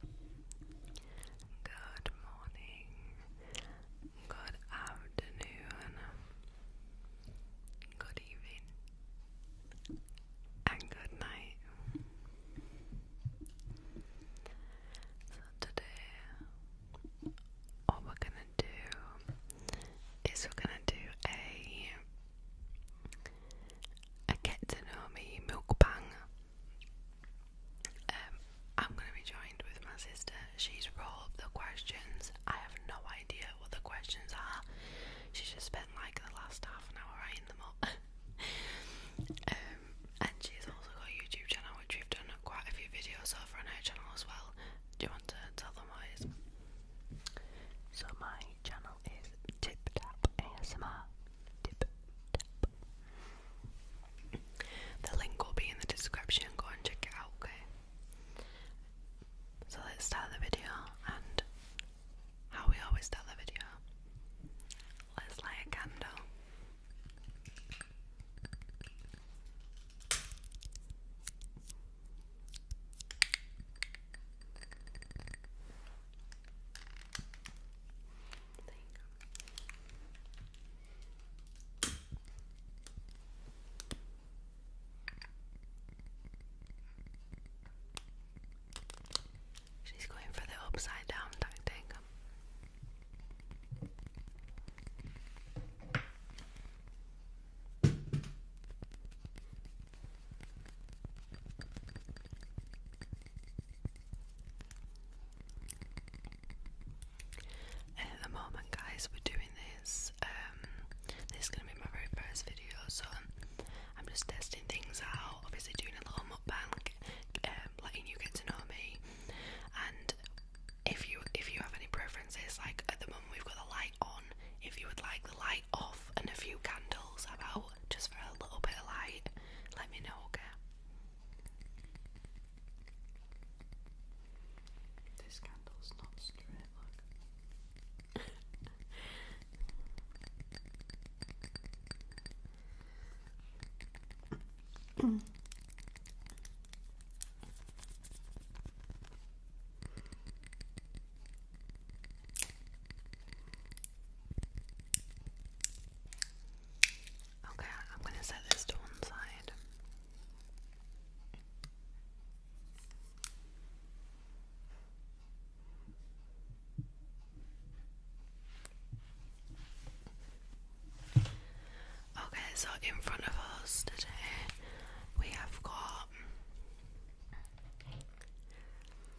Good morning, good afternoon, good evening, and good night. So, today, all we're gonna do is we're gonna do a a get milk bang um, I'm going to be joined with my sister. She's rolled up the questions. I have no idea what the questions are. She's just spent like the last half an hour writing them up. Um, and she's also got a YouTube channel, which we've done quite a few videos over on her channel as well. Do you want to tell them what it is? So my channel is Tip Tap ASMR. Tip Tap the link will be in the description, go and check it out, okay? So let's start the video, and how we always start the video, let's light a candle. She's going for the upside down tactic. At the moment, guys, we're doing this. Um, this is gonna be my very first video, so I'm just testing things out. Obviously, doing a little mukbang, um, letting you get to know me. And if you if you have any preferences, like at the moment we've got the light on. If you would like the light off and a few candles about just for a little bit of light, let me know. Okay. This candle's not straight, Okay, I'm going to set this to one side. Okay, so in front of us today we have got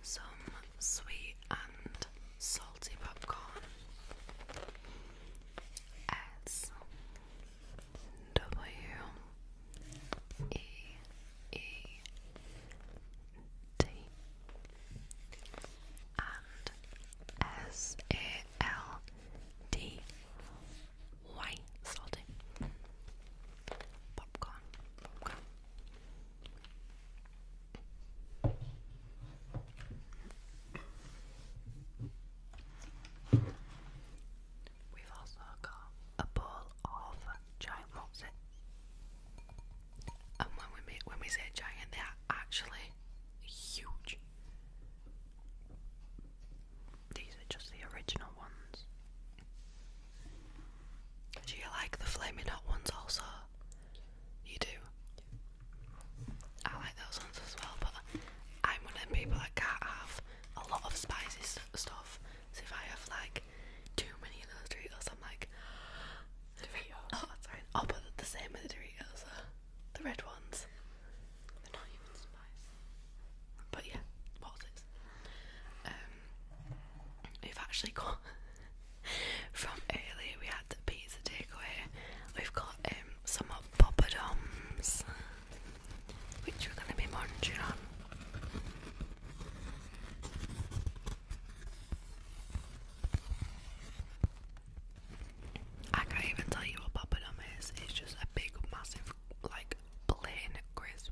some sweet and salty popcorn. S W E E D and S A L D Y salty popcorn We've also got a bowl of giant mozzie. And when we when we say giant, they are actually huge. These are just the original ones. Do you like the flaming hot ones also? You do? I like those ones as well, but I'm one of the people that can't have a lot of spicy stuff. So if I have like too many of those Doritos, I'm like Sorry, i sorry. Oh, the same with the Doritos, uh, the red ones. They're not even spicy. But yeah, what was this? Um, we've actually got From earlier, we had the pizza takeaway. We've got um, some hot poppadoms, which we're going to be munching on. I can't even tell you what poppadom is. It's just a big, massive, like plain crisp.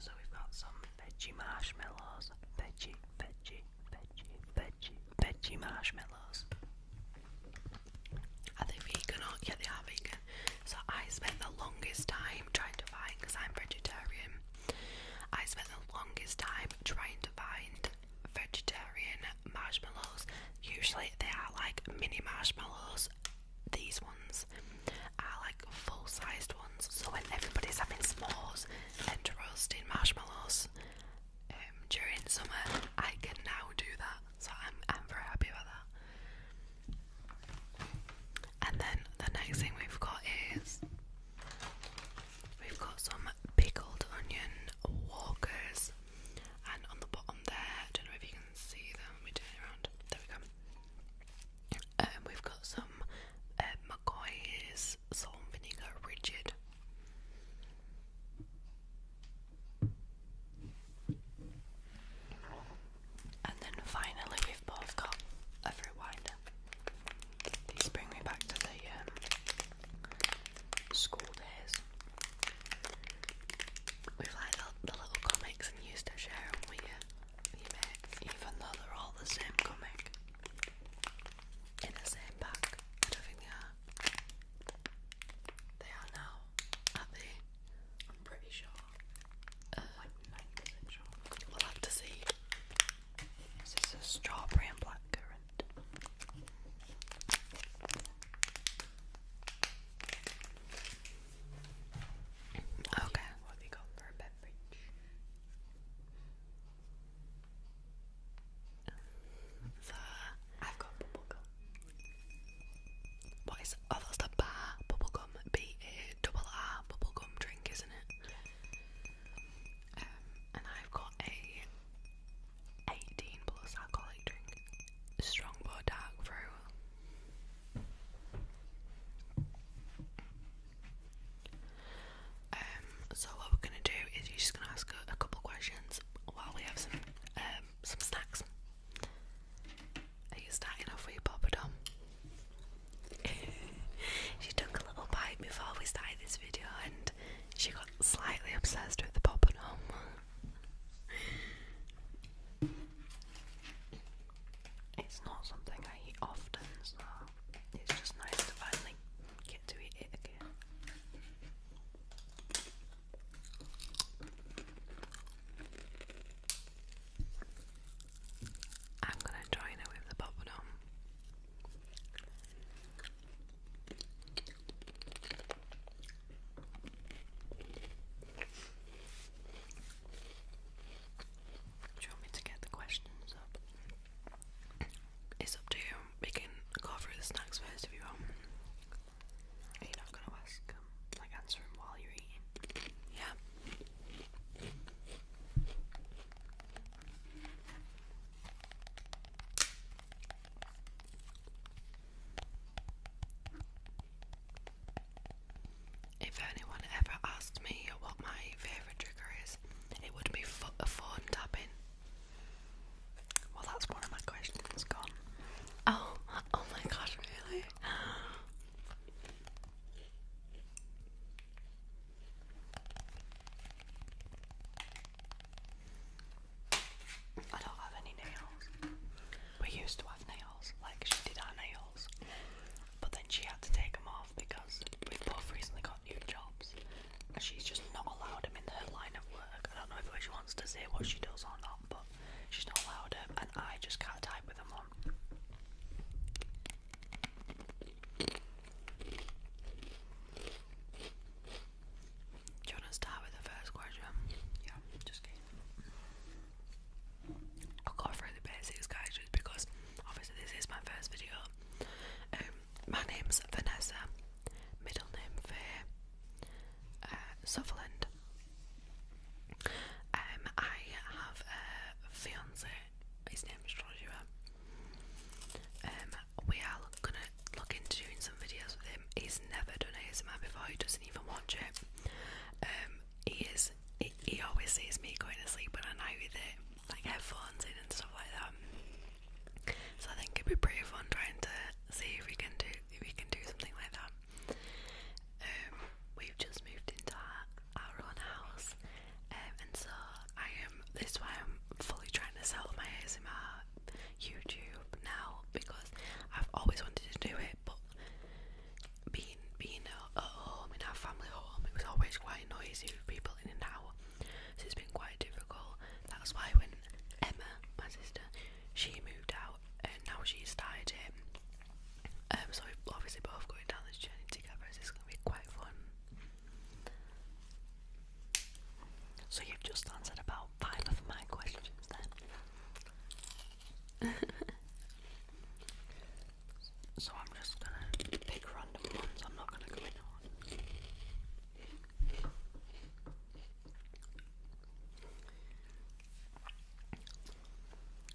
So we've got some veggie marshmallows, veggie, veggie, veggie, veggie, veggie marshmallows. Are they vegan? Or, yeah, they vegan. So I spent the longest time trying to find, because I'm vegetarian, I spent the longest time trying to find vegetarian marshmallows. Usually they are like mini marshmallows these ones are like full sized ones, so when everybody's having s'mores and roasting marshmallows um, during summer, I can now do that, so I'm, I'm very happy about that. And then the next thing we've got is we've got some pickled onion walkers and on the bottom there, I don't know if you can see them, We me turn it around, there we go. Um, we've got some uh, salt vinegar rigid. And then finally, we've both got a fruit These bring me back to the um, school days. We've like the, the little comics and used to share them with you, even though they're all the same comic in the same pack. don't think they are. now, are I'm pretty sure. Uh, like 90% sure. We'll have to see. This is a strawberry and blackcurrant. Okay. What we go for a beverage? The I've got bubblegum. What is oh that's the bar B A double R bubblegum drink, isn't it? Um, and I've got a eighteen plus alcoholic drink. Strongbow dark brew. Um, so what we're gonna do is you're just gonna ask a, couple questions while we have some um, some snacks. Are you starting off with your Papa Dom? she took a little bite before we started this video and she got slightly obsessed with the Papa Dom. It's not something I eat often, so it's just nice to finally get to eat it again. I'm gonna join it with the bubblegum. Do you want me to get the questions up? It's up to you. We can go through the snacks first if you want. Are you not gonna ask um, answer them while you're eating? Yeah. If anyone ever asked me what my favourite trigger is, it would be a phone tapping. Well, that's one of my questions gone. Oh, oh my god, really? I don't have any nails. We used to have nails, like she did our nails, but then she had to take them off because we've both recently got new jobs, and she's just not allowed them in her line of work. I don't know if she wants to say what she does or not, but she's not allowed them, and I just can't type with them on. Do you want to start with the first question? Yeah, just kidding. I got through the basics, guys, just because obviously this is my first video. Um, my name's Vanessa, middle name Faye uh, Sutherland. Um, I have a fiance. His name is Joshua. Um, we are gonna look into doing some videos with him. He's never done ASMR before. He doesn't even watch it. Um, he is. He, always sees me going to sleep when I night with it, like headphones in and stuff like that. So I think it'd be pretty fun trying to see if we can do if we can do something like that. Um, we've just moved into our, own house, um, and so I am. This why I'm fully trying to sell my ASMR YouTube now because I've always wanted to do it, but being being at home in our family home, it was always quite noisy with people in and out, so it's been quite difficult. That's why when Emma, my sister, she moved out and now she's started it. Um, so obviously both going down this journey together, so gonna be quite fun. So you've just answered about five of my questions then. so I'm just gonna pick random ones, I'm not gonna go in on.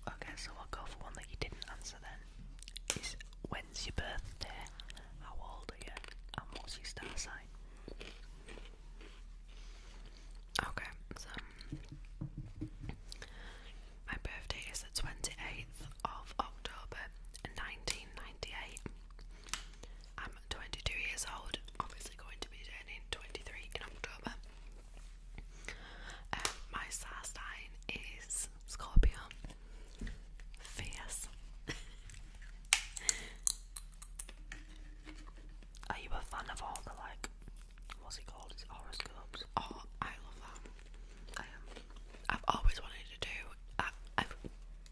Okay, so I'll go for one that you didn't answer then. Is when's your birthday? How old are you? And what's your star sign? Okay, so my birthday is the 28th of October 1998. I'm 22 years old, obviously going to be turning 23 in October. Um, my star sign is Scorpio. Fierce. Are you a fan of all the like what's it called? It's horoscopes. Oh, I love that. Um, I've always wanted to do. I, I've,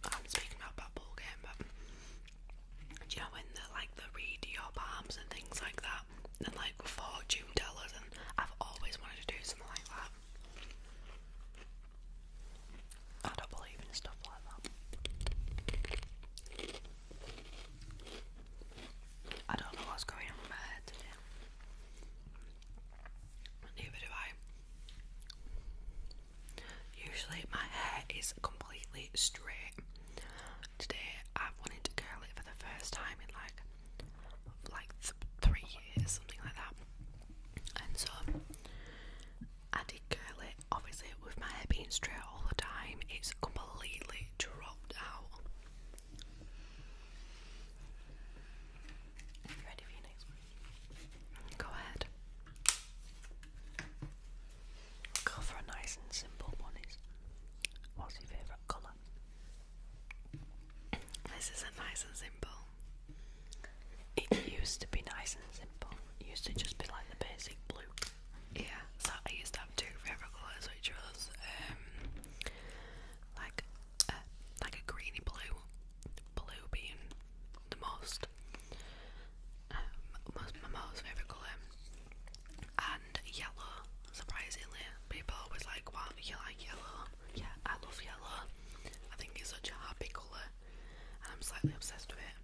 I'm speaking about that ball game, but do you know when they like the read your palms and things like that, and like fortune tellers, and I've always wanted to do something like that. I don't believe in stuff like that. I don't know what's going on with my hair today. Neither do I. Usually my hair is completely straight. Today I've wanted to curl it for the first time in like like three years, something like that. And so I did curl it. Obviously with my hair being straight all the time, it's completely dry. Go ahead. Go for a nice and simple one. Is what's your favourite colour? This isn't nice and simple. It used to be nice and simple. used to just be like the basic blue. Yeah, so I used to have two favourite colours, which was um, like a, like a greeny blue, blue being the most, um, most my most favourite colour, and yellow. Surprisingly, people always like, "Wow, you like yellow?" Yeah, I love yellow. I think it's such a happy colour, and I'm slightly obsessed with it.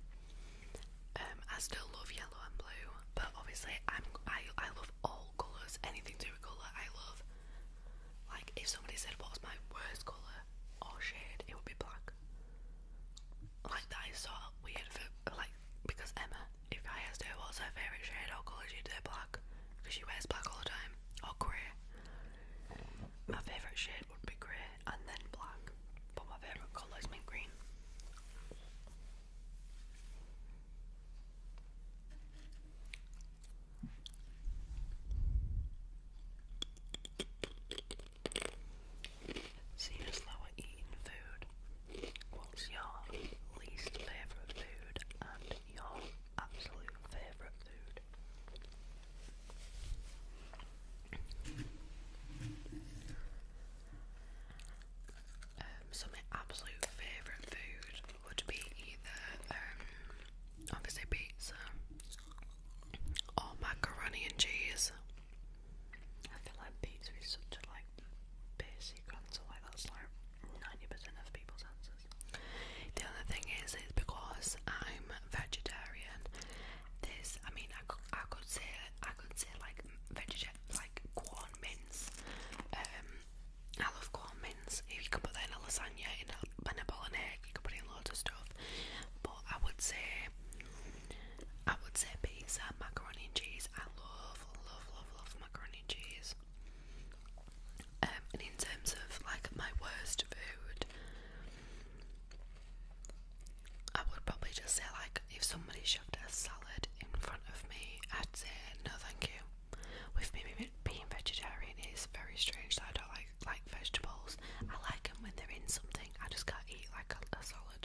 Um, I still love yellow and blue, but obviously I'm I I love all colours. Anything to do with colour, I love. Like if somebody said what's my worst colour or oh, shade, it would be black. Like that is so weird like because Emma, if I asked her what's her favourite shade or colour, she'd say black because she wears black all the time or grey. My favourite shade would be grey and then black, but my favourite colour is mint green. Seems lower eating food. What's your least favourite food and your absolute favourite food? Um, absolute favourite food would be either um, obviously pizza or macaroni and cheese. I feel like pizza is such a like basic answer, like that's like ninety percent of people's answers. The other thing is, is because I'm vegetarian. This, I mean, I could, I could say, I could say like vegetarian like corn mince. Um, I love corn mince. You can put that in a lasagna, in a, in a bolognese, you can put it in loads of stuff. But I would say, I would say pizza, macaroni and cheese. I love, love, love, love macaroni and cheese. Um, and in terms of like my worst food, I would probably just say like if somebody shoved a salad in front of me, I'd say no, thank you. With me being vegetarian, it's very strange that I don't like like vegetables. I like them when they're in something. I just can't eat like a, salad.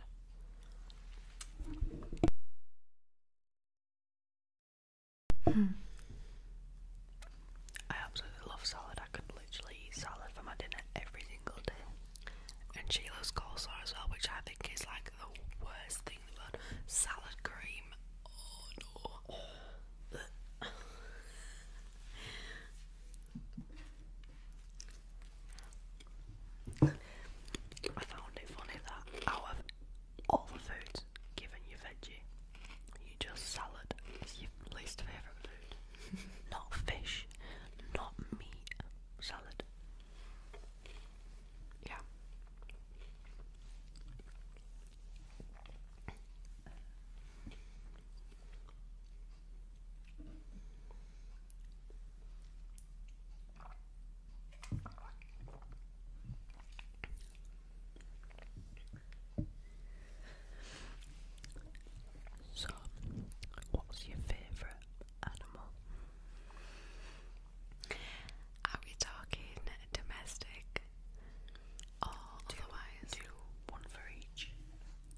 Hmm. I absolutely love salad. I could literally eat salad for my dinner every single day and Chilo's coleslaw as well, which I think is like the worst thing in Salad cream. I found it funny that out of all the foods given you veggie, you just salad is your least favourite food. not fish, not meat, salad. Yeah. So, what's your favourite animal? Are we talking domestic otherwise? one for each.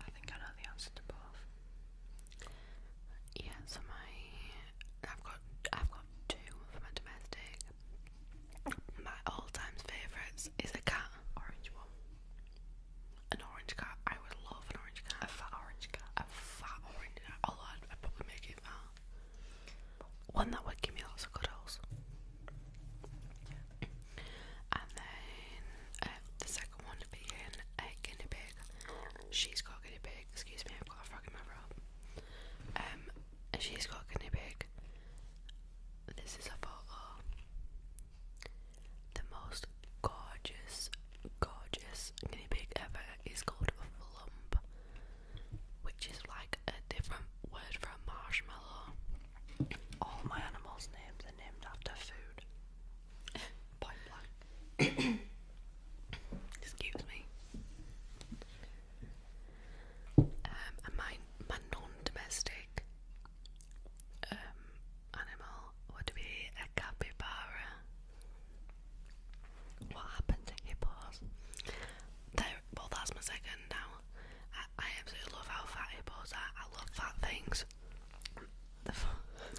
I think I know the answer to both. Yeah, so my I've got I've got two for my domestic. My all time favourites is a cat. Orange one. An orange cat. I would love an orange cat. A fat orange cat fat orange. Although I'd, probably make it fat. Uh, one that would give me lots of cuddles. And then um, the second one being a guinea pig. She's got a guinea pig. Excuse me, I've got a frog in my robe. Um, she's got guinea pig. This is a photo. The most gorgeous gorgeous guinea pig ever is called a flump, which is like a different word for a marshmallow. All my animals' names are named after food. Point blank. Excuse me. Um, and my, my non-domestic um, animal would be a capybara. What happened to your paws? well, that's my second now. I, absolutely love how fat your paws are. I love fat things. The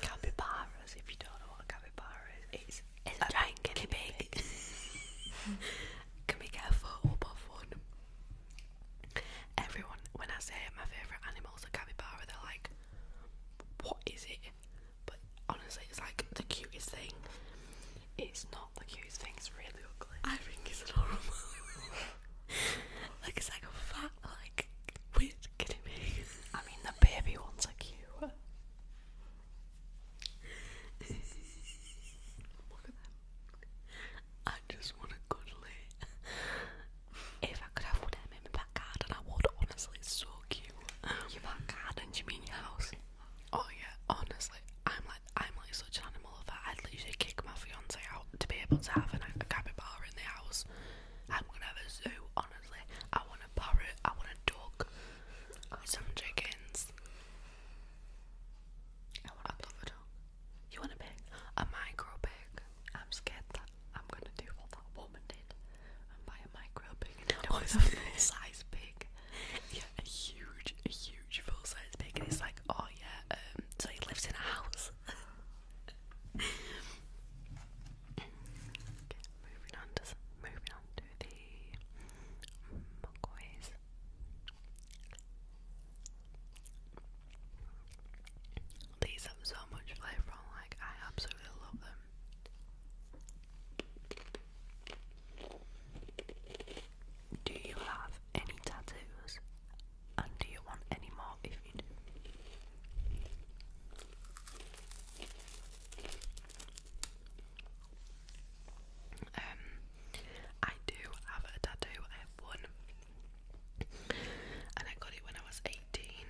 capybaras, if you don't know what a capybara is, it's, it's giant guinea pig. Can we get a photo up one? Everyone, when I say my favourite animals are capybara, they're like, what is it? but honestly, it's like the cutest thing. It's not the cutest thing, it's really ugly. I think it's adorable. like, it's like a fat, like, weird kidding me. I mean, the baby ones are cute. Look at them. I just want a good if I could have one of them in my back garden, I would. Honestly, so cute. Um, you want gardens? You mean your house? Oh yeah, honestly, I'm like I'm like such an animal that I'd literally kick my fiance out to be able to have an, a capybara in the house. I'm gonna have a zoo. Honestly, I want a parrot. I want a dog. Some chickens. I want I'd a a dog. You want a pig? A micro pig. I'm scared that I'm gonna do what that woman did. I'm buying a micro pig and oh, it was a full size pig. Yeah, a huge, a huge full size pig. And it's like, oh yeah, um, so he lives in a house. moving on to moving on to the mugways. These have so much flavour like I absolutely love them. Do you have any tattoos? And do you want any more if you do? Um, I do have a tattoo. I have one, and I got it when I was eighteen.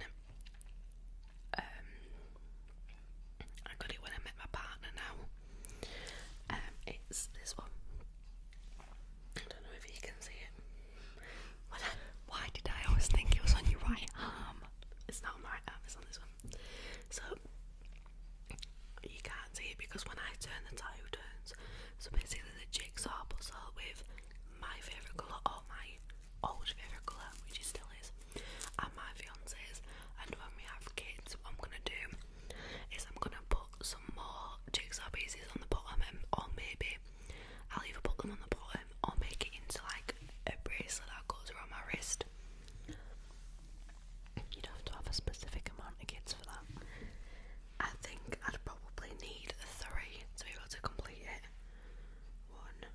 Um, I got it when I met my partner now. Um, it's this one. I don't know if you can see it. why did I always think it was on your right arm? It's not on my right arm, it's on this one. So, you can't see it because when I turn, the tile turns. So, basically, the jigsaw puzzle with my favourite colour or my old favourite colour, which it still is and my fiance's. And when we have kids, what I'm gonna do is I'm gonna put some more jigsaw pieces on the bottom, and, or maybe I'll even put them on the bottom or make it into like a bracelet that goes around my wrist. You don't have to have a specific amount of kids for that. I think I'd probably need three to be able to complete it. One,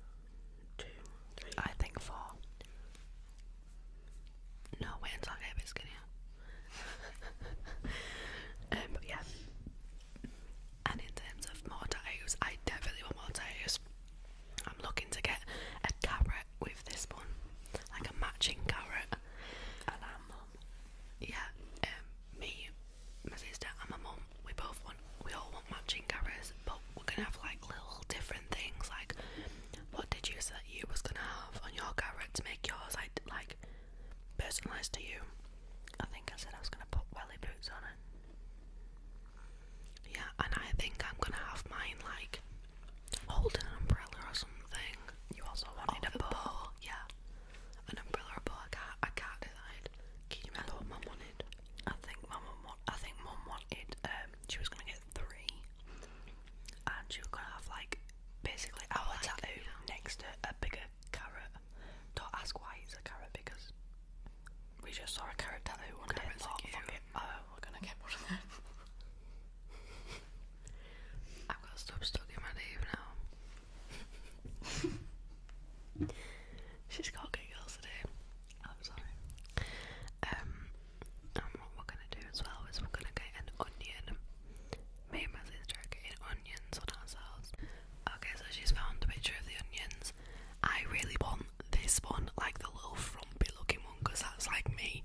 two, I think four. No, wait until I a bit skinnier. Um, but yeah. And in terms of more tattoos, I definitely want more tattoos. I'm looking to get a carrot with this one, like a matching carrot. And i Yeah, um, me, my sister, and my mum. We both want. We all matching cameras, but we're gonna have like little different things. Like, what did you say you was gonna have on your camera to make yours like like personalised to you? I think I said I was gonna put welly boots on it. Yeah, and I think I'm gonna have mine like holding an umbrella or something. You also wanted a ball, yeah. An umbrella or a bow. I can't, I can't decide. Can you remember what mum wanted? I think mum I think mum wanted um, she was gonna get three and she was gonna have like basically oh, our tattoo next to a bigger carrot. Don't ask why it's a carrot because we just saw a carrot tattoo one day and thought, fuck gonna get one of them. I've got stuff stuck in my name now. She's got giggles today. I'm sorry. Um, and um, what we're gonna do as well is we're gonna get an onion. Me and my sister are getting onions on ourselves. Okay, so she's found a picture of the onions. I really want this one, like the little frumpy looking one, that's like me.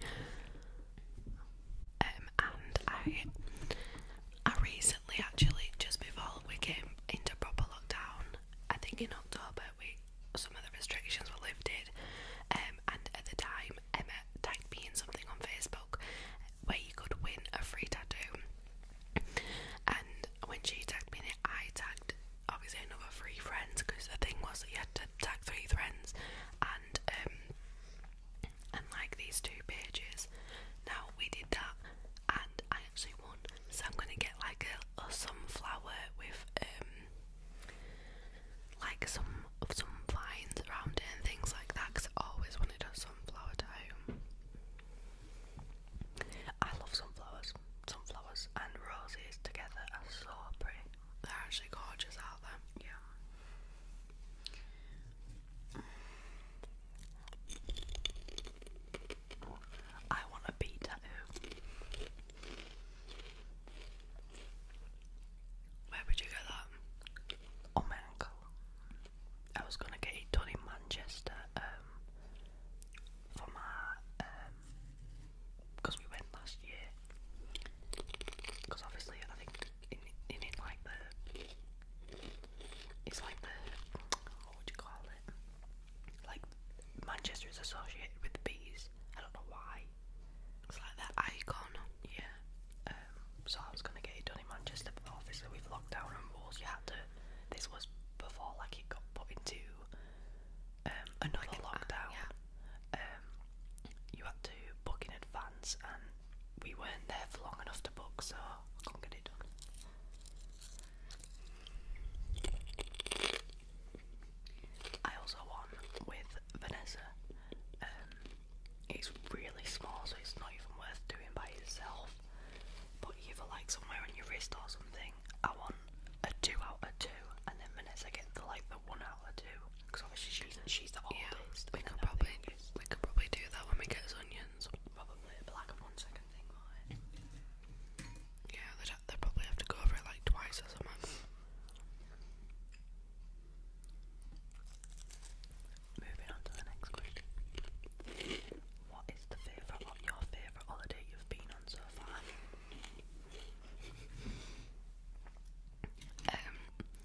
Um, and I, I recently actually, just before we came into proper lockdown, I think in October, we some of restrictions were lifted, um, and at the time Emma tagged me in something on Facebook where you could win a free tattoo. And when she tagged me in it, I tagged obviously another three friends because the thing was that you had to tag three friends, and um, and like these two pages. Now we did that, and I actually won. So I'm gonna get like a, sunflower with um, like some some vines around it and things like that because I always wanted a sunflower at home. I love sunflowers. Sunflowers and roses together are so pretty. They're actually gorgeous, out there. Yeah. Mm. I want a bee tattoo. Where would you get that? Oh my uncle. I was gonna get it done in Manchester, um for my um because we went last year. Because obviously, I think in in like the it's like the what would you call it? Like, Manchester is associated with bees. I don't know why. It's like that icon. Yeah. Um, so I was gonna get it done in Manchester, but obviously with lockdown and rules, you had to. This was before like it got put into um, another lockdown. yeah. Um, you had to book in advance, and we weren't there for long enough to book, so I couldn't get it done. I also won with Vanessa. Um, it's really small, so it's not even worth doing by itself. But either like somewhere on your wrist or something, I want a two out of two, and then Vanessa gets the like the one out of two. Because obviously she's she's the oldest. Yeah, we could probably we could probably do that when we get those onions. Probably, but like a one second thing, right? Yeah, that. They probably have to go over it like twice or something. Moving on to the next question. What is the favourite or your favourite holiday you've been on so far? Um,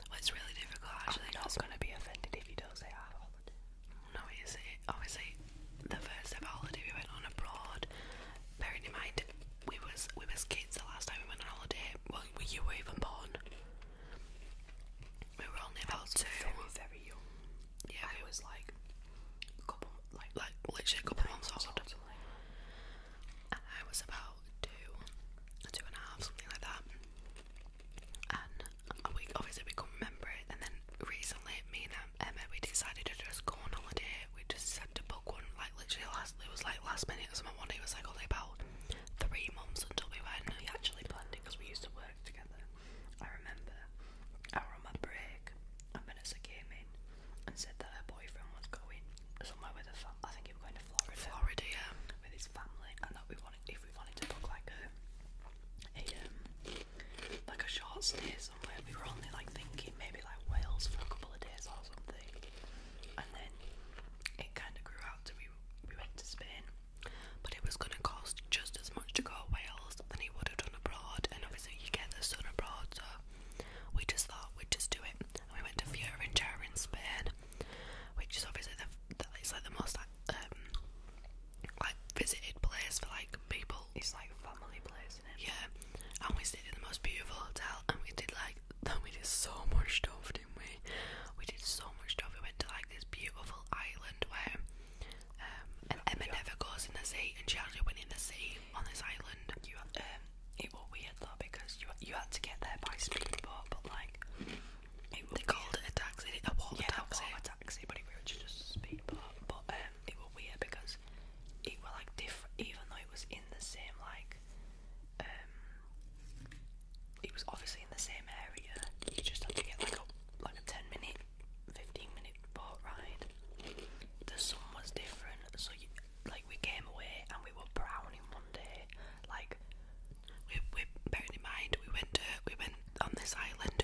well, it's really difficult actually. I'm not gonna be offended if you don't say our holiday. No, you see, obviously, the first ever holiday we went on abroad, bearing in mind we was we was kids the last time we went on holiday. Well, you were even born. We were only about two. Very, very young. Yeah, I we was like a couple, like like literally a couple months old. Like and I was about two, two and a half, something like that. And we obviously we couldn't remember it. And then recently, me Emma, we decided to just go on holiday. We just sent to book one, like literally last. It was like last minute. Someone wanted it was like only about three months until we went. We actually planned it because we used to work together. I remember. I were on my break, and Vanessa came in and said that her boyfriend was going somewhere with a. I think he was going to Florida. Florida, yeah. With his family, and that we wanted if we wanted to book like a, a um, like a short stay somewhere. We were only like thinking maybe like Wales for a couple of days or something, and then it kind of grew out to we we went to Spain, but it was going to cost just as much to go Wales than it would have done abroad, and obviously you get the sun abroad, so we just thought we'd just do it. we went to Fiorentina in Spain, which is obviously the, the like the most um, like visited place for like people. It's like family place yeah, and we stayed in the most beautiful hotel, and we did like, then we did so much stuff, didn't we? We did so much stuff. We went to like this beautiful island where um, Emma never goes in the sea, and she actually went in the sea on this island. Um, it was weird though because you you had to get there by speedboat, but like they called it a taxi, a water taxi, a taxi, but it was just speedboat. But um, it was weird because it were like different even though it was in the same like um it was obviously in the same area you just had to get like a like a 10 minute 15 minute boat ride the sun was different so you like we came away and we were brown in one day like we, we bearing in mind we went to we went on this island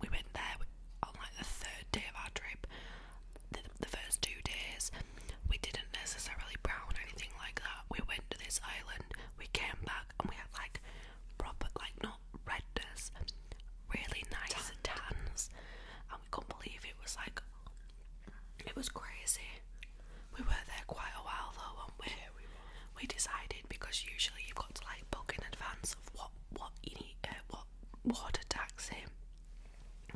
we went there on like the third day of our trip the, first two days, we didn't necessarily brown or anything like that. We went to this island, we came back, and we had like proper, like not redness, really nice Tanned. tans, and we couldn't believe it was like it was crazy. We were there quite a while though, and we? we decided because usually you've got to like book in advance of what what you need, uh, what water taxi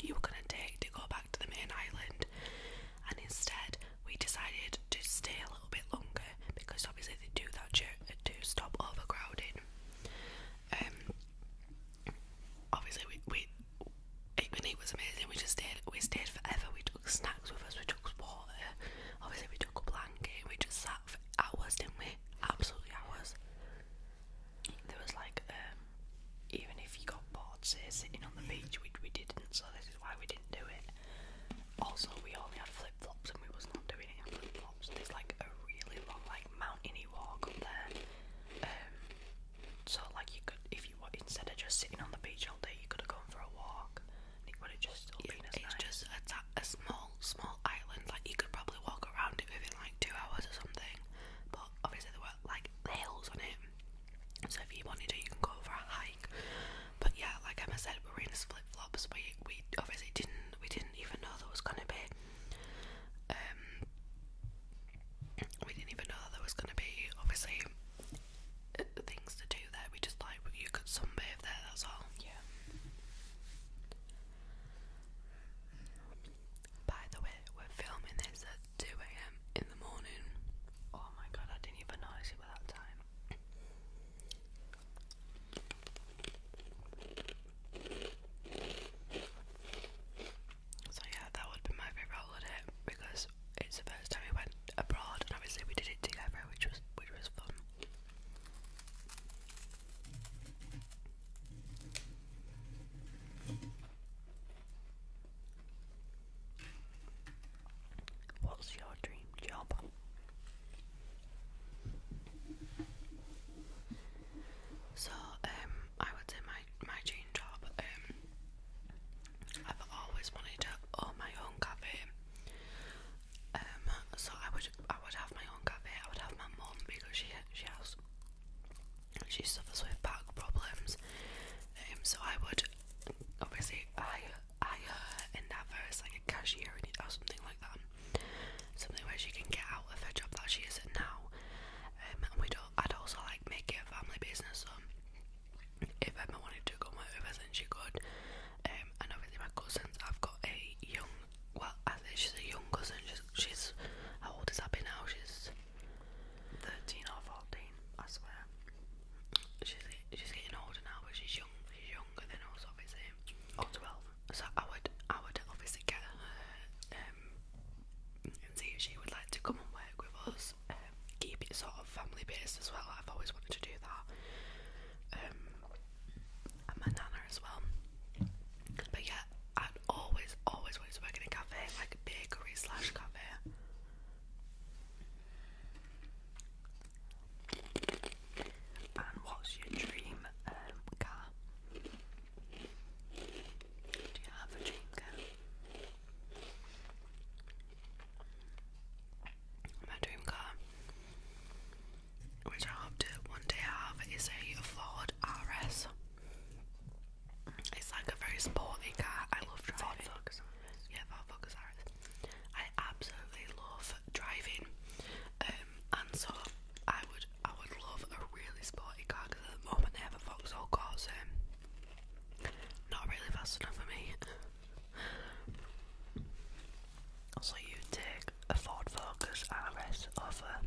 you were going to take to go back to the main island. And instead, we decided to stay a little bit longer because obviously they do that to stop overcrowding. Um, obviously, we we it, it was amazing. We just stayed. We stayed forever. We took snacks with us. We took water. Obviously, we took a blanket. We just sat for hours, didn't we? Absolutely hours there was like um, even if you got bored say sitting on the mm. beach which we didn't so this is why we didn't do it also we only had flip flops and we was not doing it in flip flops there's like a really long like mountainy walk up there um so like you could if you were instead of just sitting on the beach all day you could have gone for a walk and it would have just still yeah, been as it's nice. just a, a small small island like you could probably walk around it within like two hours or something but obviously there were like hills on it. So if you wanted to, you can go for a hike. But yeah, like Emma said, we were in flip flops. We we obviously didn't we didn't even know there was gonna be. Um, we didn't even know that there was gonna be obviously uh, things to do there. We just like you could sunbathe there. That's all. Yeah. By the way, we're filming this at 2 a.m. in the morning. Oh my god, I didn't even notice it that time. So yeah, that would be my favourite holiday because it's the first time we went abroad and obviously we did it together which was which was fun. What's your dream job? So, um, I would say my my dream job. Um, I've always wanted to own my own cafe. Um, so I would I would have my own cafe. I would have my mum because she she has she suffers with back problems, um, so I would obviously hire, hire her and that her like a cashier or something like that. Something where she can get out of her job that she is in now. Um, and we'd, I'd also like make it a family business. So if Emma wanted to come over, then she could. Um, and obviously my cousins, I've got a young, well, I think she's a young cousin. She's, she's how old is Abby now? She's 13 or 14, I swear. She's, getting older now, but she's young. She's younger than us, obviously. Oh. Or 12. So I would, I would obviously get her um, and see if she would like to come and work with us. Um, keep it sort of family based as well. I've always wanted to do that. Um, and my nana as well. But yeah, I'd always, always wanted to work in a cafe, like a bakery slash cafe. And what's your dream um, car? Do you have a dream car? My dream car, which I hope to one day have, is a Ford RS. It's like a very sporty car. I love driving. Ford Focus Yeah, Ford Focus RS. I absolutely love driving, um, and so I would I would love a really sporty car because at the moment they have a all cars are not really fast enough for me. so you take a Ford Focus RS offer. Uh,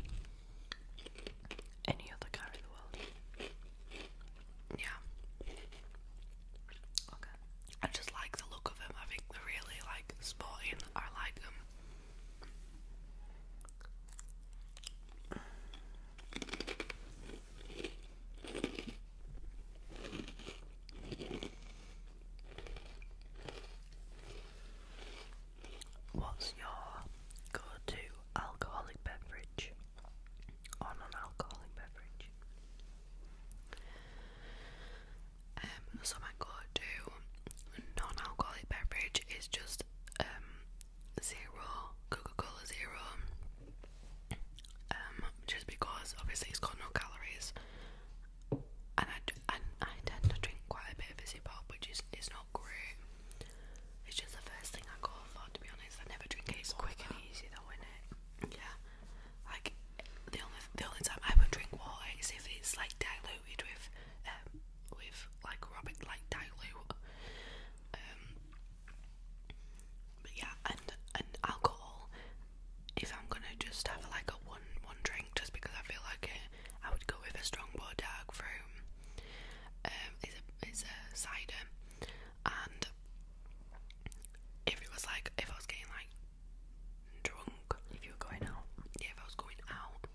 any other car in the world. Yeah. Okay. I just like the look of them. I think they're really like sporty. I like them. What's your go-to alcoholic beverage or non-alcoholic beverage? Um, so my go-to non-alcoholic beverage is just um zero Coca-Cola Zero. Um, just because obviously it's got no calories, and I, and I tend to drink quite a bit of fizzy pop, which is is not great. It's just the first thing I go for, to be honest. I never drink it. It's quick and easy, though, isn't it? Yeah. Like the only the only time I would drink water is if it's like diluted with um, with like rubbing like dilute. Um, but yeah, and and alcohol. If I'm gonna just have like a one one drink, just because I feel like it, I would go with a strong strongbow dark fruit. Um, it's a cider, and if it was like if I was getting like drunk, if you were going out, yeah, if I was going out,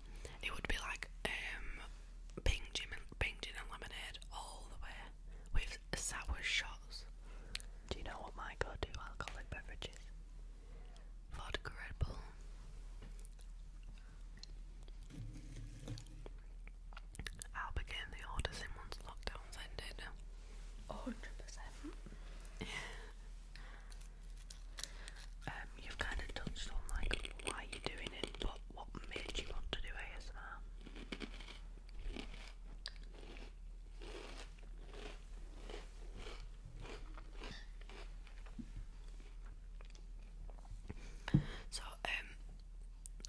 it would be like um gin and pink gin and lemonade all the way with sour shots. Do you know what my go-to alcoholic beverage is? Vodka Red Bull. I'll begin the order in once lockdown's ended. 100%. Um, you've kind of touched on like why you're doing it, but what made you want to do ASMR? So, um,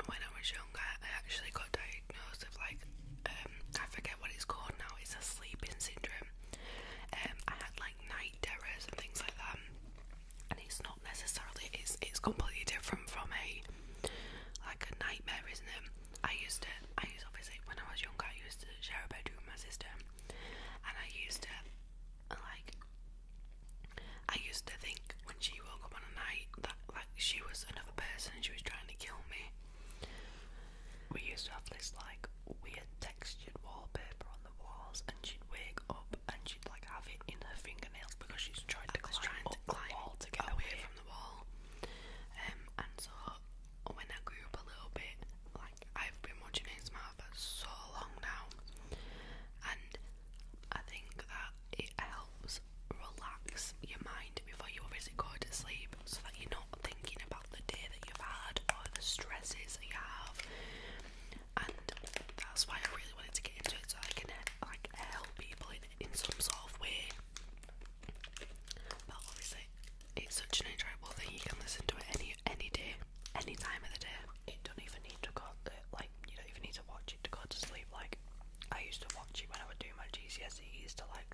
when I was younger, I actually got diagnosed with like, um, I forget what it's called now, it's a sleeping syndrome. Um, I had like night terrors and things like that, and it's not necessarily, it's, it's completely different from a like a nightmare, isn't it? I used to, I used obviously when I was younger, I used to share a bedroom with my sister, and I used to like, I used to think when she woke up on a night that like she was another person and she was trying to kill me. We used to have this like weird textured wallpaper on the walls, and she'd wake up and she'd like have it in her fingernails because she's tried to climb trying up to climb the wall to get away from the wall. Um, and so when I grew up a little bit, like I've been watching his mouth for so long now, and I think that it helps relax your mind before you obviously go to sleep so that you're not thinking about the day that you've had or the stresses that you have. And that's why I really wanted to get into it so I can like help people in, some sort of way. But obviously it's such an enjoyable thing, you can listen to it any any day any time of the day. It don't even need to go to, uh, like you don't even need to watch it to go to sleep. Like I used to watch it when I would do my GCSEs to like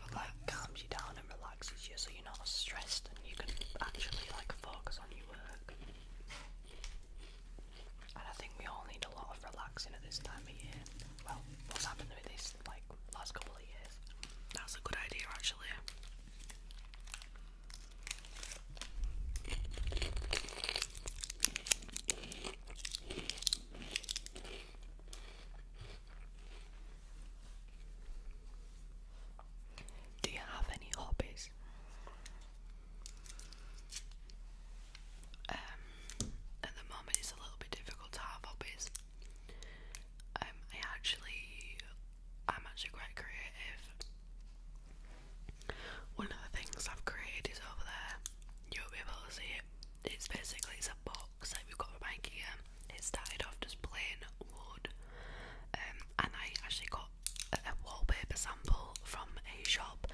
look like calms you down and relaxes you, so you're not stressed and you can actually like focus on your work. And I think we all need a lot of relaxing at this time of year. Well, what's happened with this like last couple of years? That's a good idea actually. Do you have any hobbies? Um, at the moment, it's a little bit difficult to have hobbies. Um, I actually I'm actually quite creative. One of the things I've created is over there. You'll be able to see it. It's basically it's a box that we've got from IKEA. It started off just plain wood, um, and I actually got a, wallpaper sample from a shop.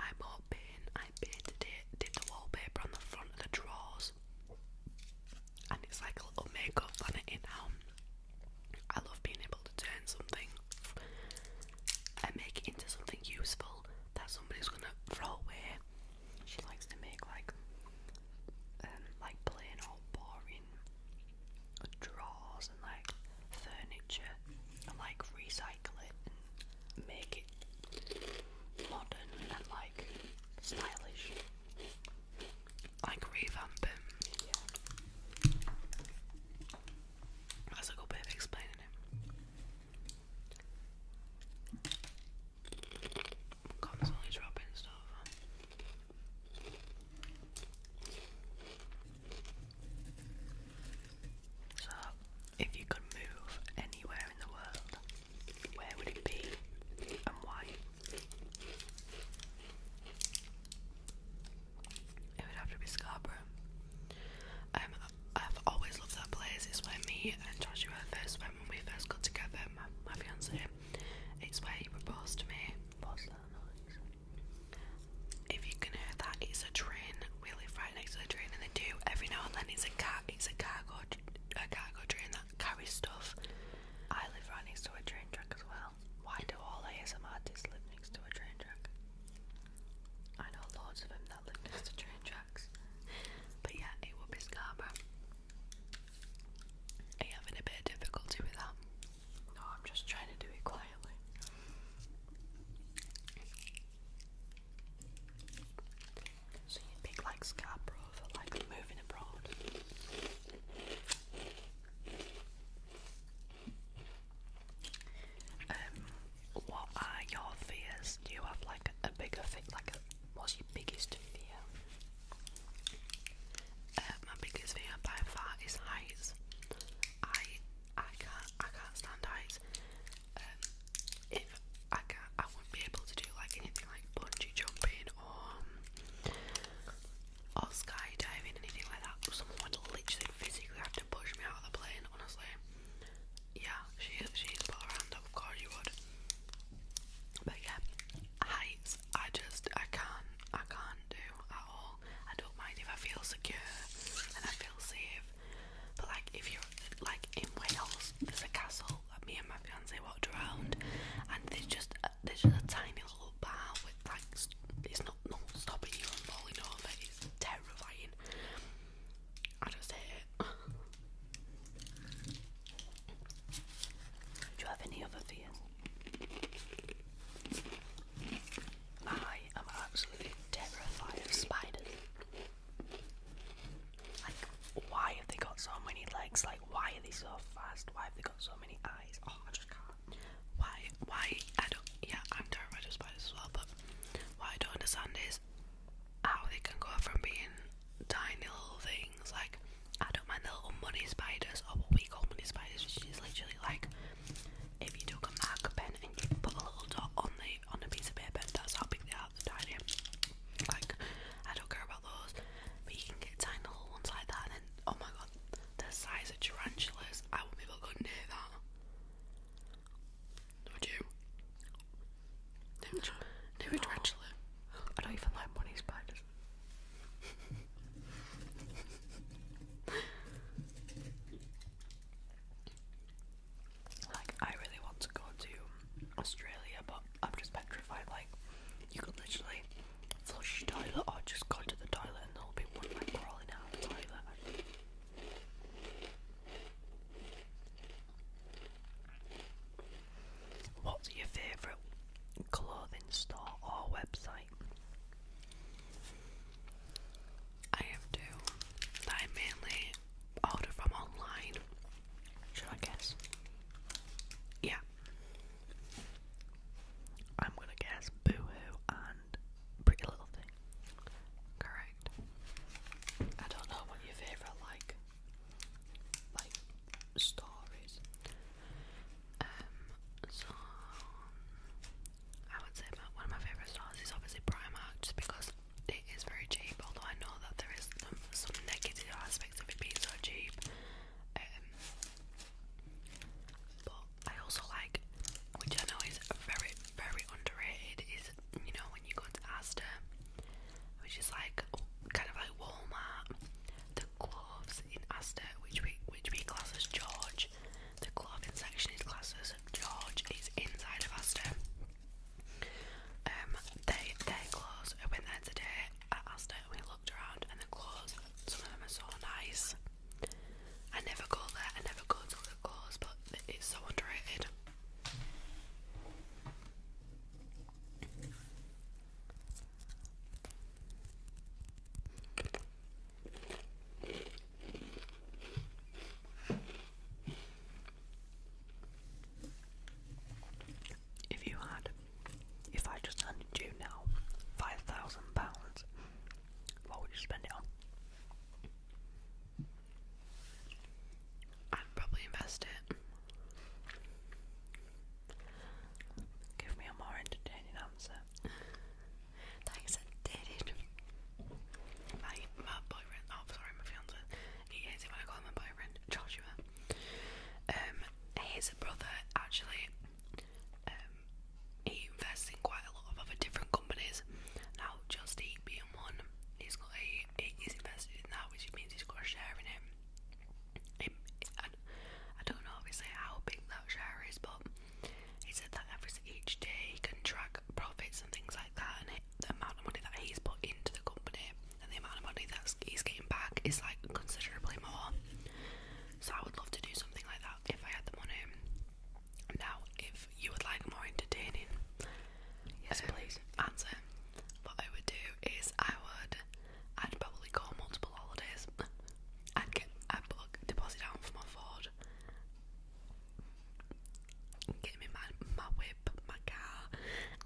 I bought paint, I painted it, did the wallpaper on the front of the drawers, and it's like little makeup on it now. I love being able to turn something and make it into something useful that somebody's gonna throw away. She likes to make like um, like plain old boring drawers and like furniture and like recycle it make it modern and like stylish like revamp That's a good bit of explaining it. Constantly dropping stuff. So, if you could move anywhere in the world, where would it be and why? It would have to be Scarborough. Um, I've always loved that place. It's where me and Joshua first went when we first got together, my, fiance. It's where he proposed to me. If you can hear that, it's a train. We live right next to the train, and they do every now and then. It's a car. It's a cargo. A cargo train that carries stuff. I live right next to a train track as well. Why do all ASM artists live next to a train track? I know loads of them that live next to train tracks. But yeah, it would be Scarborough. Are you having a bit of difficulty with that? No, I'm just trying to do it quietly. So you pick like Scarborough for like moving abroad. Um, what are your fears? Do you have like a bigger fear? Like, what's your biggest fear? Uh, my biggest fear by far is heights. I I can't I can't stand heights. Um, if I can't, I wouldn't be able to do like anything like bungee jumping or um, or skydiving, anything like that. Someone would literally physically have to push me out of the plane, honestly. Yeah, she's she's put her hand up, of you would. But yeah, heights, I just, I can't, I can't do at all. I don't mind if I feel secure and I feel safe. But like, if you're, like in Wales, there's a castle that me and my fiance walked around and there's just, a, there's just a tiny it's not not stopping you from falling over. It's terrifying. I just hate it. Do you have any other fears? I am absolutely terrified of spiders. Like, why have they got so many legs? Like, why are they so fast? Why have they got so many eyes? Oh, I just can't. Why, why, I don't, yeah, I'm terrified of spiders as well, but what I don't understand is how they can go from being tiny little things, like, I don't mind the little money spiders, or what we call money spiders, which is literally like, if you took a marker pen and you put a little dot on the, on a piece of paper, that's how big they are, they're tiny. Like, I don't care about those, but you can get tiny little ones like that, and oh my god, the size of tarantulas, I wouldn't be able to go near that. Would you? Near, tarantula. I don't even like bunny spiders. like, I really want to go to Australia, but I'm just petrified. Like, you could literally flush toilet or just go to the toilet and there'll be one like crawling out of the toilet. What's your favourite clothing store or website? I have two I mainly order from online. Should I guess? Yeah. I'm gonna guess Boohoo and Pretty Little Thing. Correct. I don't know what your favourite like like stories. Um I would say one of my favourite stores is obviously Primark just because it is very cheap, although I know that there is some, negative aspects of it being so cheap. Um, I also like, which I know is very, very underrated, is you know when you go to Asda, which is like kind of like Walmart, the gloves in Astor, which we which we class as George, the clothing section is classed as George. It's inside of Astor. Um, they their clothes. I went there today at Asda and we looked around, and the clothes. Some of them are so nice. I never go there, I never go to the clothes, but it's so underrated. If you had, if I just handed you now five thousand pounds what would you spend it on? I'd probably invest it. Give me a more entertaining answer. Thanks, I did My, my boyfriend, oh sorry, my fiance, he hates it when I call him my boyfriend, Joshua. Um, his brother actually um, he invests in quite a lot of other different companies. Now, Just Eat being one, he's got a he's invested in that, which means he's got a share in it. I, don't know obviously how big that share is, but he said that every each day he can track profits and things like that, and the amount of money that he's put into the company and the amount of money that he's getting back is like considerably more. So I would love to do something like that if I had the money. Now, if you would like more entertaining, yes, uh, please answer. What I would do is I would, I'd probably go on multiple holidays. I'd get I'd put deposit down for my Ford, get me my my whip, my car,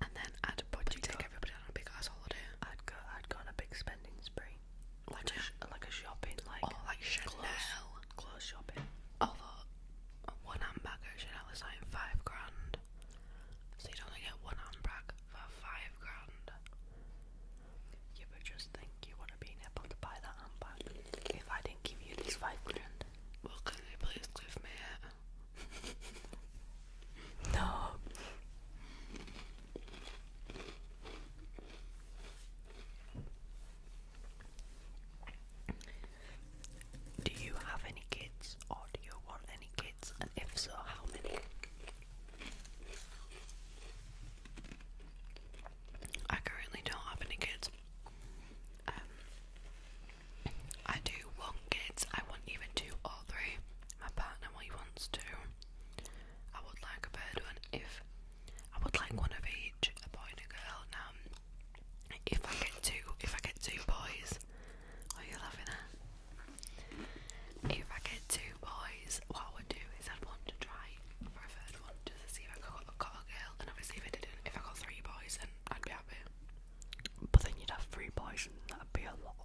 and then I'd probably take go, everybody on a big ass holiday. I'd go, I'd go on a big spending spree. Like, a, like a shopping, like oh, like Chanel clothes, shopping. Although oh, one handbag at Chanel is like five grand, so you'd only get one handbag for five grand. You would just think you would have been able to buy that handbag if I didn't give you this five grand. Well, you please give me it? no. Do you have any kids or do you want any kids? And if so, how many? I currently don't have any kids. Um, I do want kids. I want even two or three. My partner, he wants two. I would like a third one if I would like one of each, a boy and a girl. Now, if I get two, if I get two boys, what are you laughing at? If I get two boys, what I would do is I'd want to try for a third one just to see if I got, got a girl. And obviously, if I didn't, if I got three boys, then I'd be happy. But then you'd have three boys, and that'd be a lot.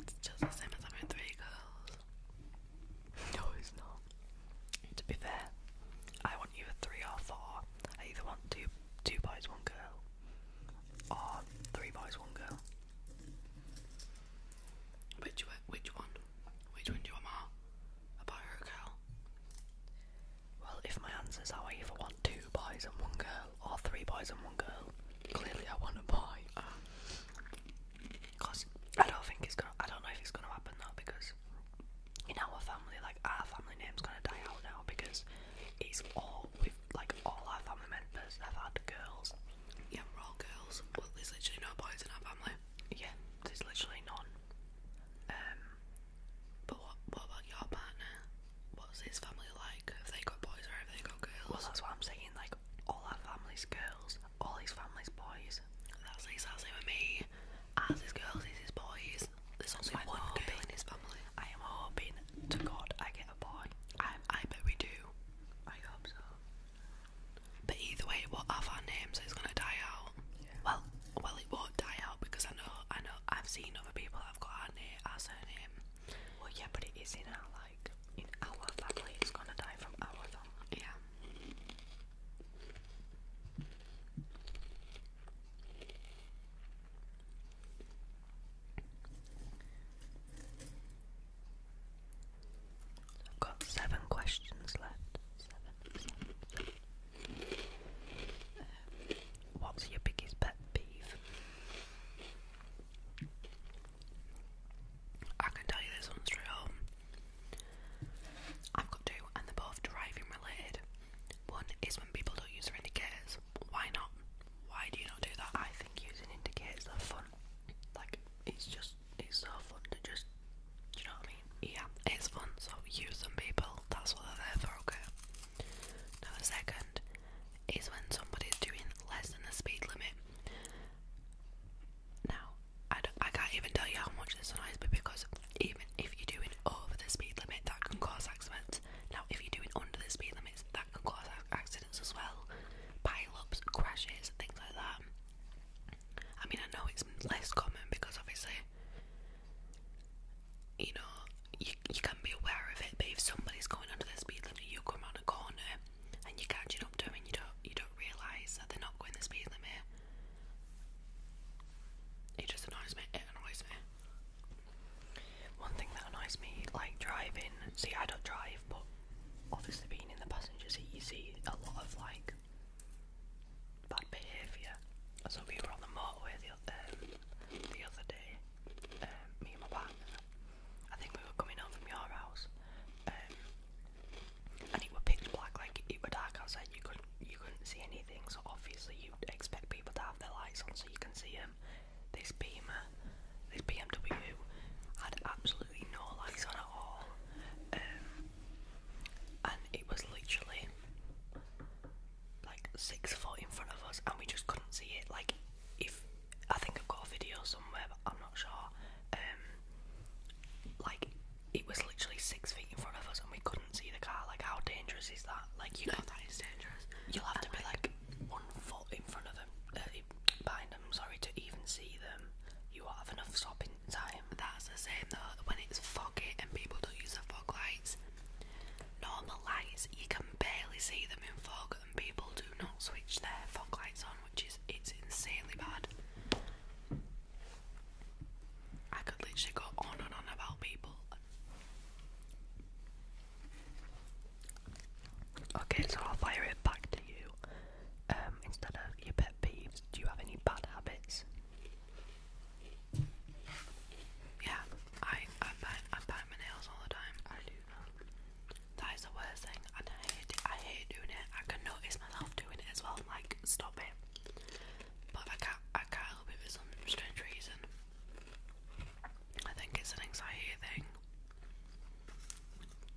It's just the same as having three girls. No, it's not. To be fair, I want you three or four. either want boys, one girl, or three boys, one girl. Which one? Which one do you want A boy or a girl? Well, if my answers are I either want two boys and one girl, or three boys and one girl, clearly I want a boy. Ah. Cause I don't think it's gonna. I don't know if it's gonna happen though, because in our family, like our family name's gonna die out now because it's all with like all our family members have had girls. Yeah, we're all girls. Well, there's literally no boys in our family. Yeah, there's literally none. Um, but what what about your partner? What's his family like? Have they got boys or have they got girls? that's what I'm saying. Like all our family's girls, all his family's boys. That's exactly with me. As his girls, is his boys. There's also one hoping, girl in his family. I am hoping to God I get a boy. I I bet we do. I hope so. But either way, we'll have our names. So it's gonna die out. Well, well, it won't die out because I know, I know, I've seen other people have got our name, our surname. Well, yeah, but it is in our life in our family is gonna die from our family. Yeah. i seven questions left. Seven, seven, seven. Um, what's your biggest pet peeve? I can tell you this one's real. I've got two, and they're both driving related. One is when people don't use indicators. Why not? Why do you not do that? I think using indicators are fun. Like, it's just, it's so fun to just, do you know what I mean? Yeah, it's fun, so use them, people. That's what they're there for, okay? Now, the second is when somebody's doing less than the speed limit. Now, I, I can't even tell you how much this annoys me because even if you're doing over the speed limit, that can cause accidents. Now, if you're doing under the speed limit, that can cause accidents as well. Pile ups, crashes, things like that. I mean, I know it's less common because obviously, you know, you, you can be aware of it, but if somebody's going under the speed limit, you come around a corner and you're catching up to them and you don't you don't realise that they're not going the speed limit. It just annoys me. It annoys me. One thing that annoys me, like driving. See, I don't drive, but obviously being in the passenger seat, you see a lot of like bad behaviour. So we were on the motorway the, um, other day, um, me and my partner, I think we were coming home from your house, um, and it was pitch black, like it was dark outside. You couldn't you couldn't see anything. So obviously you expect people to have their lights on so you can see them. This Beamer, this BMW, had absolutely no lights on at all, um, and it was literally like six foot in front of us, and we just couldn't see it. Like if I think I've got a video somewhere, but I'm not sure. Um, like it was literally six feet in front of us, and we couldn't see the car. Like, how dangerous is that? Like, you know that is dangerous. You'll have to be like, one foot in front of them, uh, behind them. Sorry to even see them. You won't have enough stopping time. That's the same though. When it's foggy and people don't use the fog lights, normal lights you can barely see them in fog, and people do not switch their fog lights on which is it's insanely bad. I could literally go on and on about people. Okay, so I'll fire it back to you. Um, instead of your pet peeves, do you have any bad habits? Yeah, I I I bite my nails all the time. I do that is the worst thing, I hate I hate doing it. I can notice myself doing it as well. like, stop it. But I can't. I can't help it for some strange reason. I think it's an anxiety thing.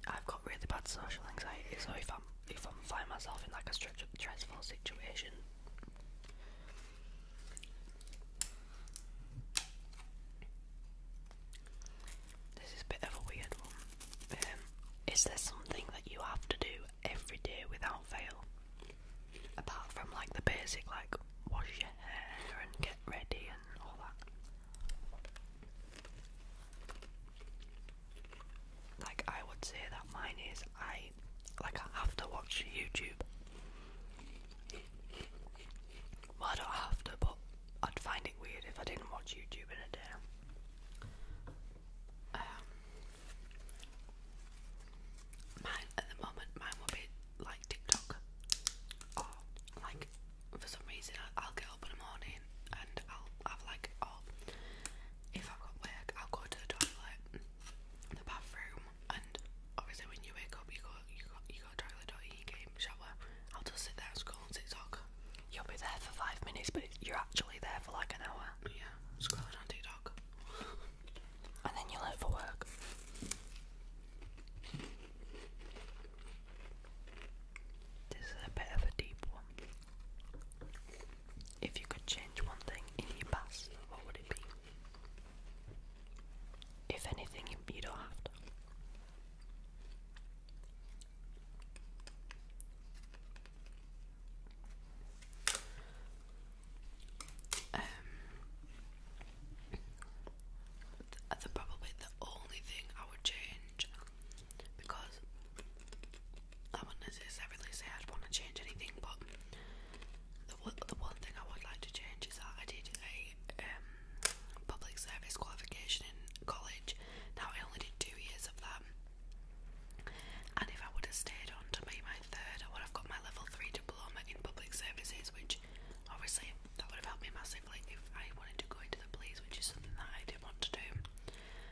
I've got really bad social anxiety, so if I'm if I'm find myself in like a stressful situation. This is a bit of a weird one. Um, is there something that you have to do every day without fail? Apart from like the basic, like wash your hair and get ready and all that. Like I would say that mine is I like I have to watch YouTube. I don't have to, but I'd find it weird if I didn't watch YouTube in a day. Um, mine at the moment, mine will be like TikTok, like for some reason I'll, get up in the morning and I'll have like, oh, if I've got work, I'll go to the toilet, the bathroom, and obviously when you wake up, you go, you go, you go toilet, you game, shower. I'll just sit there and TikTok you'll be there for five minutes, but you're actually there for like an hour. Yeah, scrolling on TikTok. and then you're late for work. This is a bit of a deep one. If you could change one thing in your past, what would it be? If anything, you don't have to. Um, probably the only thing I would change because I wouldn't necessarily say I'd want to change anything, but the one, the one thing I would like to change is that I did a um, public service qualification in college. Now, I only did two years of that. And if I would have stayed on to make my third, I would have got my level three diploma in public services, which obviously that would have helped me massively if I wanted to go into the police, which is something that I didn't want to do.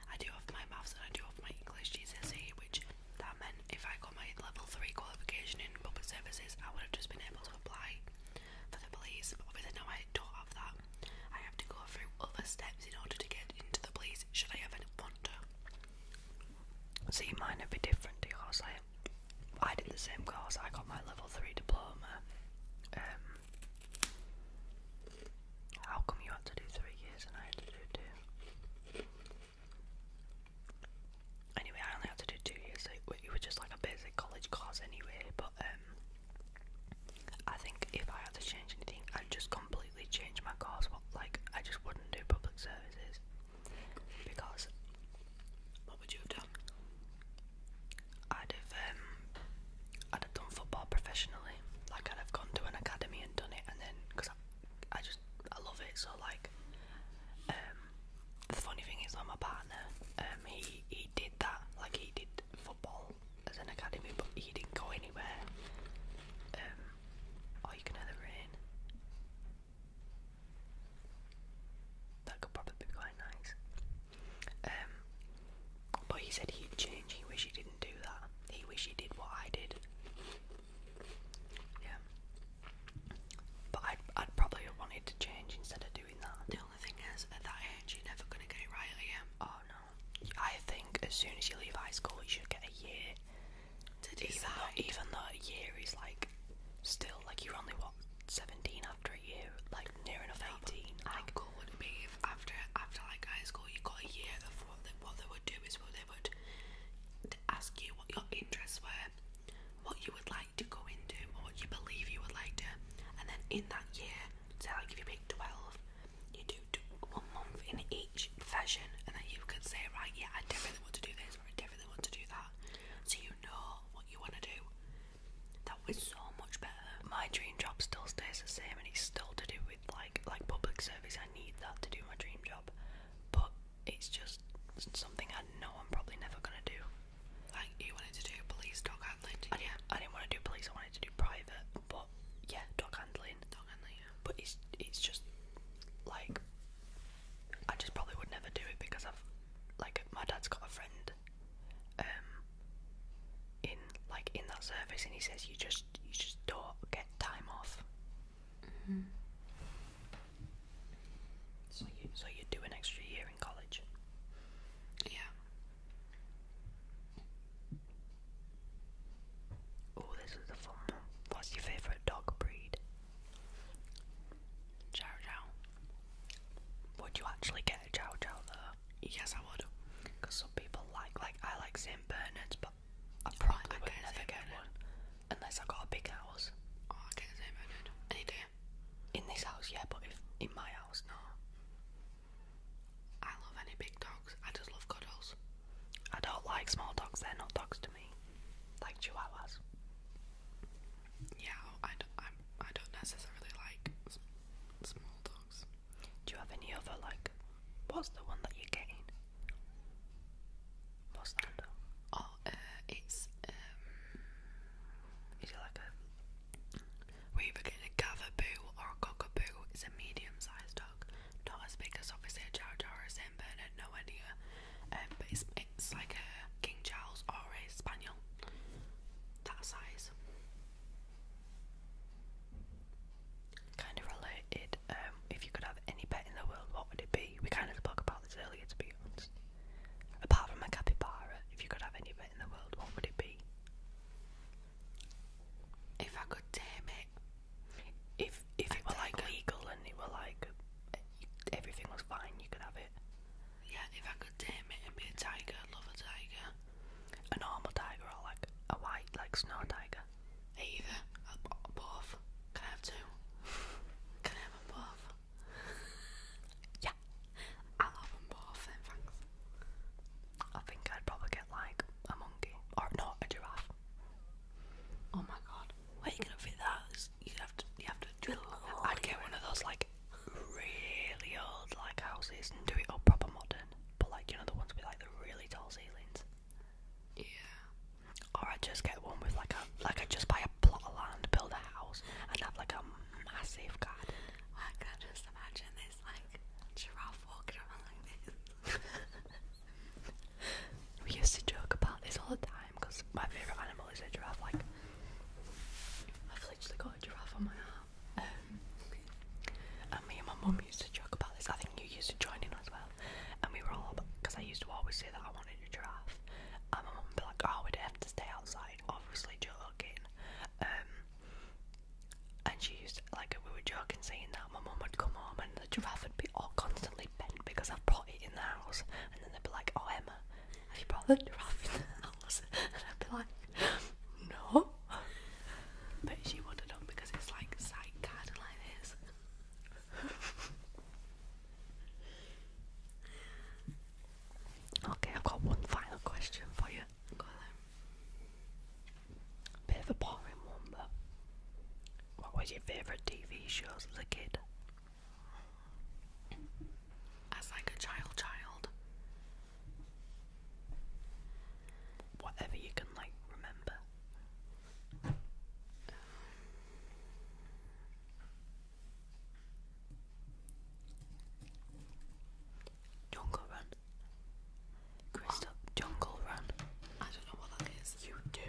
I do have my maths and I do have my English GCSE, which that meant if I got my level three qualification in public services, I would have just been able to apply for the police. But obviously now I don't have that. I have to go through other steps in order to get into the police should I ever want to. See mine would be different to yours. I I did the same course, I got my level three diploma. Um how come you had to do three years and I had to do two? Anyway, I only had to do two years, so it, it just like a basic college course anyway, but um I think if I had to change anything, I'd just completely change my course. What like I just wouldn't do public services because what would you have done? I'd have um, I'd have done football professionally. Like I'd have gone to an academy and done it, and then because I, just I love it. So like um, the funny thing is, like my partner, um, he he did that. Like he did football as an academy, but he didn't go anywhere. Um, or you can hear the rain. That could probably be quite nice. Um, but he said he'd change. He wish he didn't do that. He wish he did what I did. Yeah. But I'd, I'd probably wanted to change instead of doing that. The only thing is, at that age, you're never going to get it right, are Oh no. I think as soon as you leave high school, you should get a year to do even that. Though, even though a year is like still like you're only what 17 after a year, like near enough no, 18. How like, cool would it be if after after like high school you got a year of what they, what they would do is what they would ask you what your interests were, what you would like to go into, or what you believe you would like to, and then in that year so like if you pick 12, you do, do one month in each profession and then you could say, right, yeah, I definitely want to do this or I definitely want to do that. So you know what you want to do. That was so much better. My dream job still stays the same and it's still to do with like like public service. I need that to do my dream job. But it's just something I know I'm probably never gonna do. Like you wanted to do police dog handling, didn't I, you? I didn't want to do police, I wanted to do private but yeah, dog handling. Dog handling, But it's it's just like I just probably would never do it because I've like my dad's got a friend um in like in that service and he says you just you just don't get time off. Mm-hmm. So you so you do an extra year in college. Yeah. Oh, this is fun What's your favourite dog breed? Chow Chow. Would you actually get a Chow Chow though? Yes, I would. Because some people like, like, I like St. Bernard's, but I probably I would never Saint get Bernard. one. Unless I got a big house. Oh, I get St. Bernard. Any day. In this house, yeah, but in my house, no. I love any big dogs. I just love cuddles. I don't like small dogs. They're not dogs to me. Like chihuahuas. Yeah, I don't, I'm, I don't necessarily like small dogs. Do you have any other, like, what's the one that you gain? getting? What's that? Oh, uh, it's, um... Is it like a we're either or a Cockaboo. a medium-sized dog, not as big as obviously a Chow Chow or a Saint Bernard, nowhere near. Um, but it's like a King Charles or a Spaniel, that size. Kind of related. Um, if you could have any pet in the world, what would it be? We kind of spoke about this earlier, to be honest. Apart from a capybara, if you could have any pet in the world, what would it be? If I could tame it, if if it were like legal and it were like everything was fine, you could have it. Yeah, if I could tame it and be a tiger, love a tiger. A normal tiger or like a white, like snow tiger. Either, both. Can I have two? Can I have them both? yeah. I love them both, and thanks. I think I'd probably get like a monkey or not a giraffe. Oh my god, where are you gonna fit that? You have to, you have to drill. a hole. I'd get one of those like really old like houses and do it all proper modern, but like you know the ones with like the really tall ceilings. Yeah. Or I'd just get one with like a like I'd just buy a plot of land, build a house, and have like a massive garden. I can just imagine this is like giraffe walking around like this. we used to joke about this all the time because my favourite animal is a giraffe. Like, I've literally got a giraffe on my arm. Um, and me and my mum used to joke about this. I think you used to join in as well. And we were all because I used to always say that I wanted a giraffe. And my mum would be like, oh, we'd have to stay outside, obviously joking. Um, and she used to, like we were joking saying that my mum would come home and the giraffe would be all constantly bent because I've brought it in the house and then they'd be like, Oh Emma, have you brought the giraffe in the house? And I'd be like, No But she wanted have done because it's like side card like this Okay, I've got one final question for you got Bit of a boring one, but what was your favourite TV shows as a kid? As like a child, child. Whatever you can like remember. Jungle Run. Crystal Jungle Run. I don't know what that is. You do.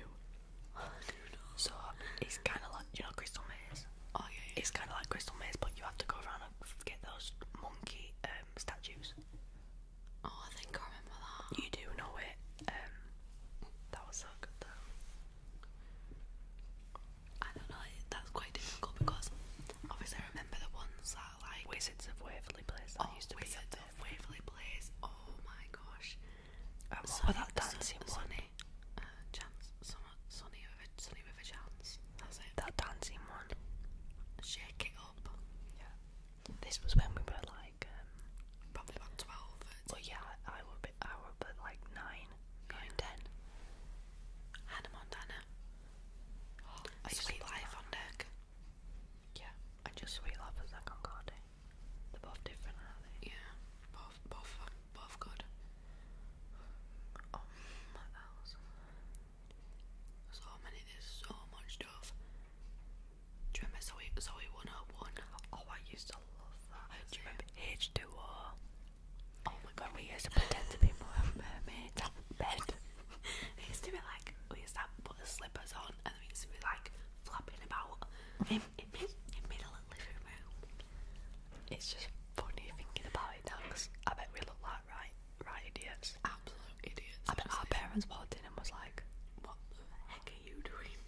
So it's kind of like you know Crystal Maze. Oh yeah. It's kind of like Crystal Maze, but you have to go around and get those monkey um, statues. Oh, I think I remember that. You do know it. Um, that was so good though. I don't know. That's quite difficult because obviously I remember the ones that like Wizards of Waverly Place. That oh, used to Wizards of Waverly Place. Oh my gosh. Um, what that dancing one? Uh, chance, sunny, with a, chance. That's it. That dancing one. Shake it up. Yeah. This was when we were like um, probably about twelve. Well, yeah, I would be. I would be like nine, going ten. Hannah Montana. I just live on deck. Yeah, I just sweet love as that They're both different, aren't they? Yeah, both, both, both good. Um, what else? So many, so much stuff. Do you remember Zoe, Zoe 101? Oh, I used to love that. Do you remember H2O? Oh my god, we used to pretend to be mermaids we used to be like, we used to put the slippers on and we used to be like flapping about in, in, in middle of living room. It's just funny thinking about it now because I bet we look like right, right idiots. Absolute idiots. I bet our parents walked in and was like, what the heck are you doing?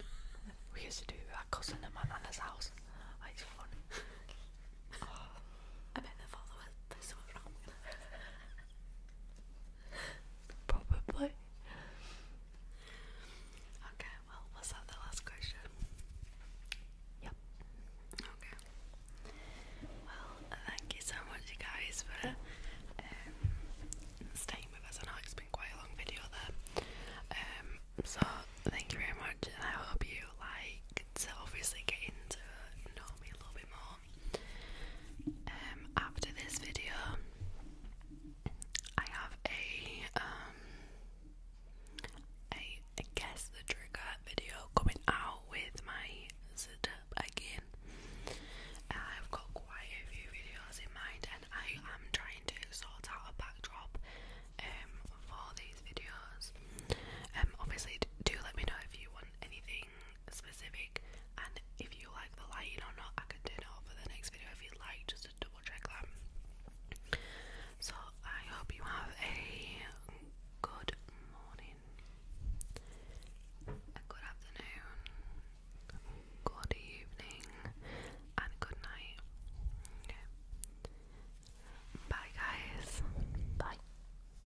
We used to do it at cousin at my nana's house. Oh, it's fun. I bet they thought was, there's something wrong with it. Probably. Okay, well, was that the last question? Yep. Okay. Well, thank you so much, you guys, for um, staying with us. I know it's been quite a long video there. Um, so, thank you very much, and I hope you liked obviously getting to know me a little bit more um, after this video, I have um, a a, guess the trigger video coming out with my setup again. Uh, I've got quite a few videos in mind, and I am trying to sort out a backdrop um, for these videos. Um, obviously, do let me know if you want anything specific and if you like the lighting or not I can turn it for the next video if you like just to double check that so I hope you have a good morning a good afternoon good evening and good night bye guys bye